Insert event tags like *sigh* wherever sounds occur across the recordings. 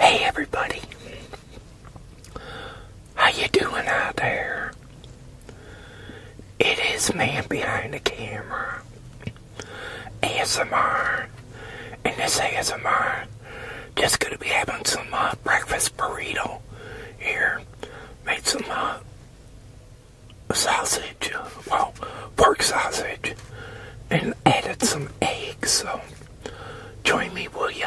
Hey everybody. How you doing out there? It is man behind the camera. ASMR. And this ASMR just gonna be having some uh, breakfast burrito here. Made some uh, sausage, uh, well, pork sausage, and added some egg. So join me, will you?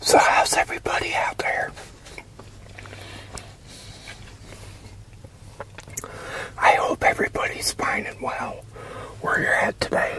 So how's everybody out there? I hope everybody's fine and well where you're at today.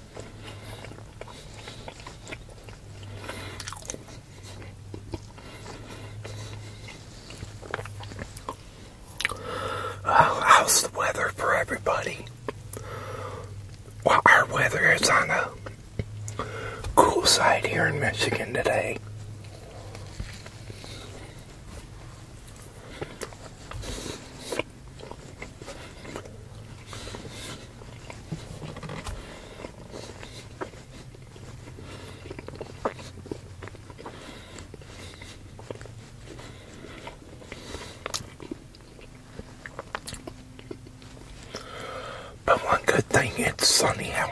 Oh, how's the weather for everybody? Well, our weather is on a cool side here in Michigan today. But one good thing it's sunny out.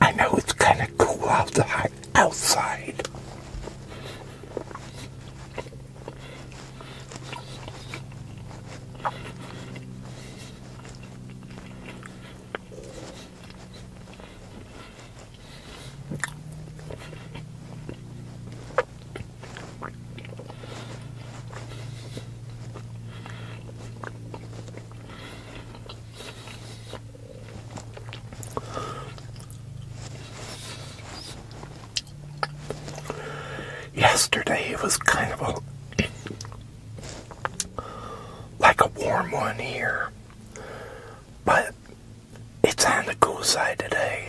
I know it's kind of cool outside. Outside. Yesterday it was kind of a like a warm one here, but it's on the cool side today.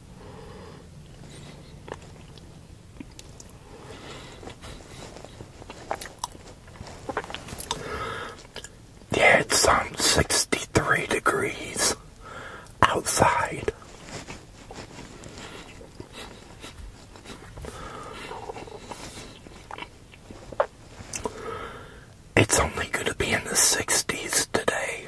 it's some 63 degrees outside. It's only going to be in the 60s today.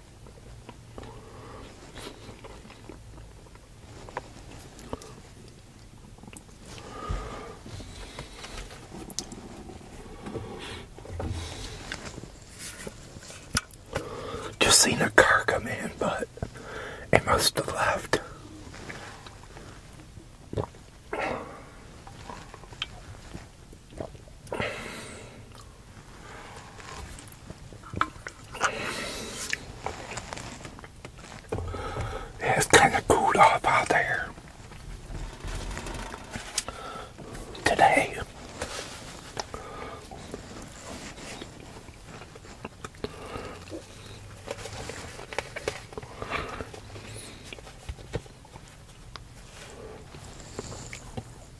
Just seen a car come in, but it must have left it's kind of cooled off out there today.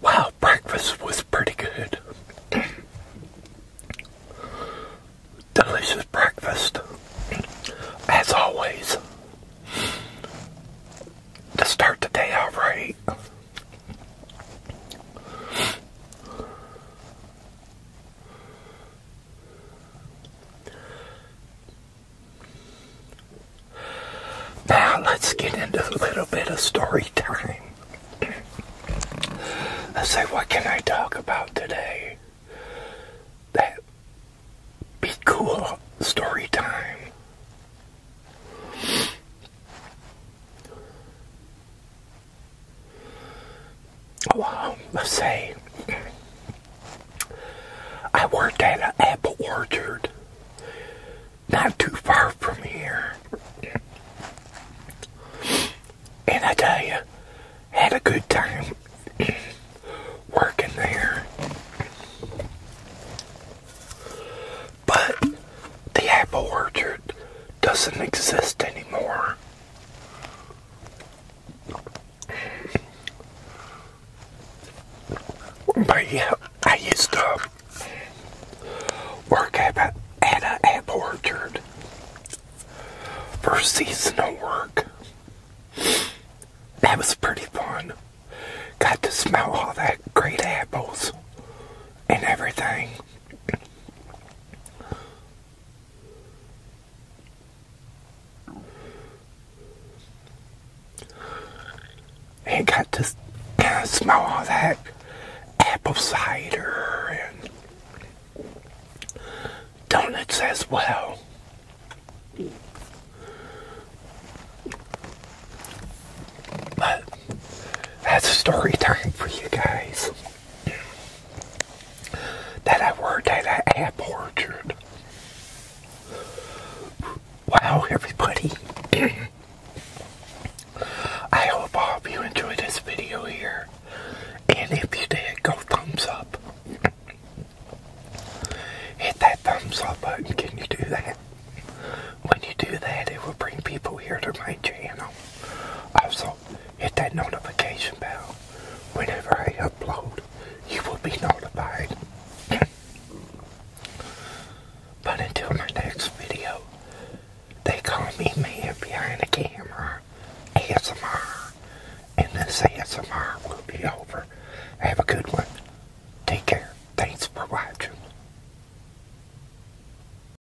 Wow, breakfast was pretty good. Delicious breakfast, as always. To start the day out right. Now let's get into a little bit of story time. I say, what can I talk about today? That be cool story time well, let's say I worked at an apple orchard not too far from here. And I tell you, had a good time working there. But the apple orchard doesn't exist anymore. But yeah, I used to work at, at an apple orchard for seasonal work. That was pretty fun. Got to smell all that great apples and everything. I got to smell all that apple cider and donuts as well. But that's story time for you guys that I worked at an apple orchard. Wow, everybody. I hope all of you enjoyed this video here. And if you did, go thumbs up. Hit that thumbs up button. Can you do that? When you do that, it will bring people here to my channel. Also, hit that notification bell. Whenever I upload, you will be notified. *clears throat* but until my next video, they call me man behind the camera, ASMR, and this ASMR will be over. Have a good one. Take care. Thanks for watching.